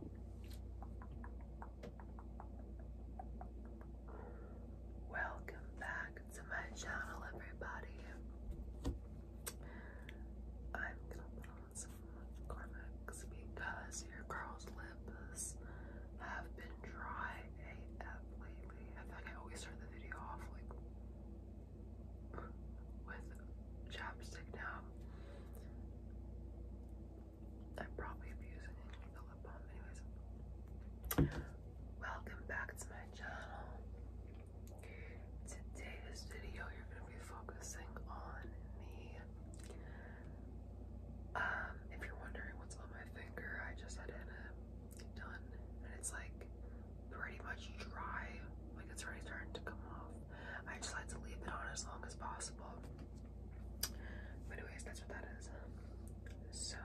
Welcome back to my channel, everybody. I'm gonna put on some Cormex because your girl's lips have been dry AF lately. I feel I always turn the video off like with chapstick now. I'm probably abusing it with a lip balm, anyways. Welcome back to my channel. Today's video, you're going to be focusing on me. Um, if you're wondering what's on my finger, I just had it done, and it's like pretty much dry. Like it's already starting to come off. I just like to leave it on as long as possible. But anyways, that's what that is. So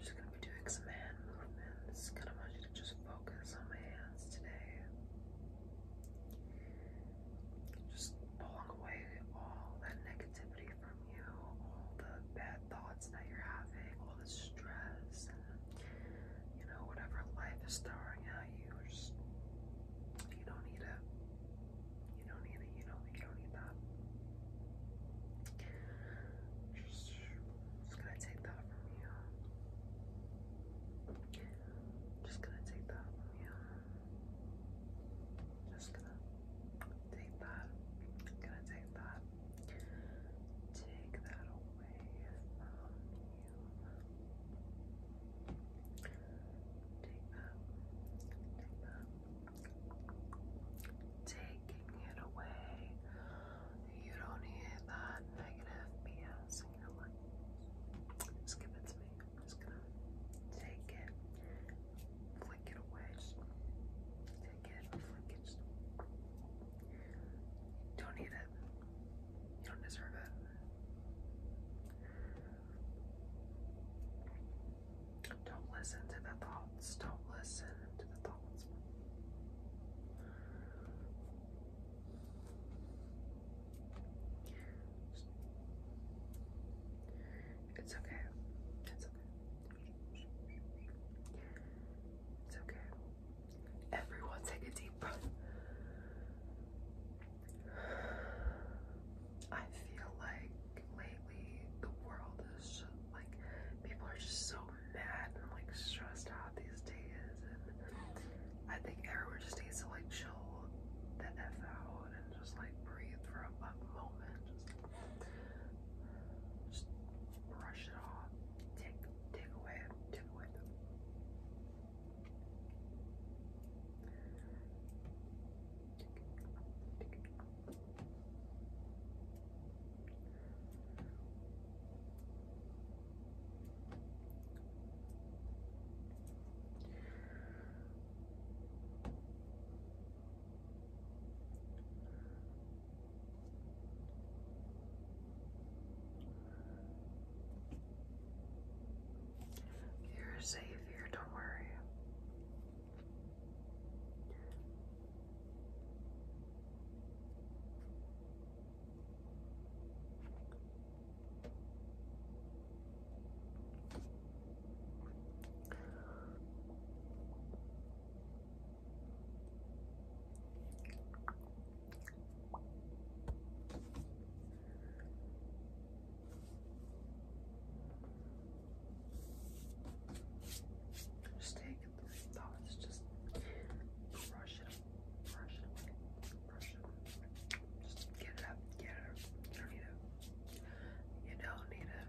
just gonna be doing some hand movements. Kinda want you to just focus on my hands today. Just pulling away all that negativity from you, all the bad thoughts that you're having, all the stress you know, whatever life is throwing at you, just, you don't need it. You don't need it. You don't. You don't need that. just gonna take that from you. Just gonna take that from you. Just gonna take that. Gonna take that. Take that away from you. Take that. Taking it away. You don't need that negative BS Just give it to me. just gonna take it, flick it away. Just take it don't need it. You don't deserve it. Don't listen to the thoughts. Don't listen to the thoughts. It's okay. It's okay. It's okay. Everyone take a deep breath. I feel like lately the world is just, like people are just so mad and like stressed out these days and I think everyone just needs to like chill the F out and just like breathe for a, moment. Just brush it off. Take, take away, take away you're safe here, don't worry. Just take the thoughts, just brush it, brush it, brush it. Just get it up, get it up. You do You don't need it.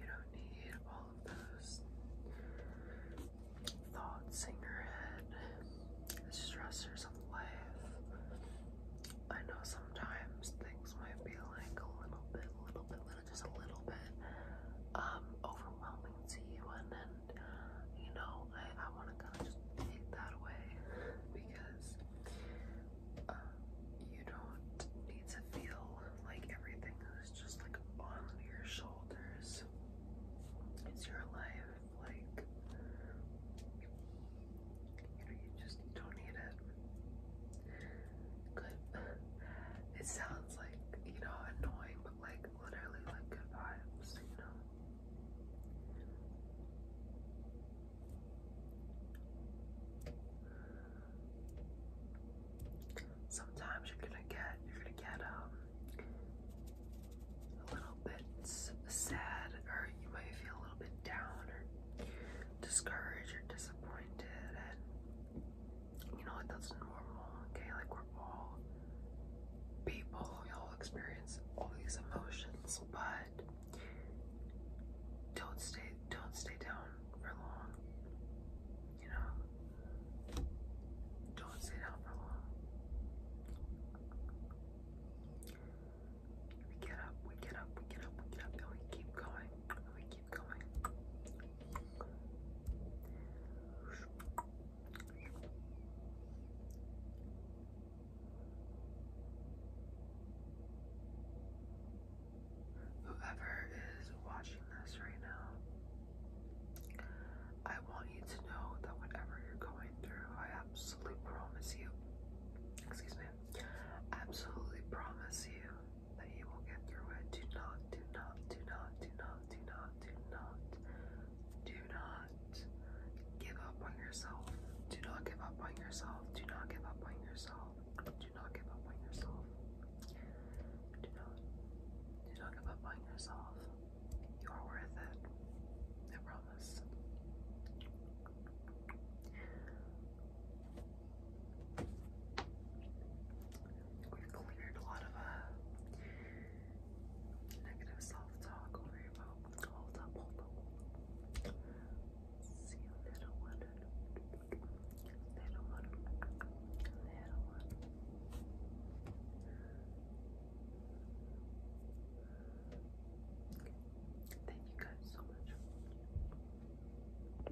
You don't need all of those thoughts in your head, stressors of life. I know sometimes things might be like a little bit, a little bit, little, just a little bit um, overwhelming to you, and then you know, I, I want to kind of take that away because uh, you don't need to feel like everything is just like on your shoulders. It's your life, like you know, you just don't need it. Good. It sounds like you know annoying, but like literally like good vibes, you know. Sometimes you're gonna get you're gonna get um a little bit sad or you might feel a little bit down or discouraged or disappointed and you know, it doesn't normal, okay? Like we're all people, we all experience all these emotions, but don't stay don't stay down for long. You know? Don't stay down for long. We get up, we get up, we get up, we get up, and we keep going, we keep going. Whoever is watching this right now, I want you to know that whatever you're going through, I absolutely promise you, excuse me, absolutely promise you that you will get through it. Do not, do not, do not, do not, do not, do not, do not give up on yourself. Do not give up on yourself. Do not give up on yourself. Do not give up on yourself. Do not, do not give up on yourself. You are worth it. I promise. We've cleared a lot of uh, negative self-talk over about hold up, hold up. little one. Little one. Little one. Thank you guys so much.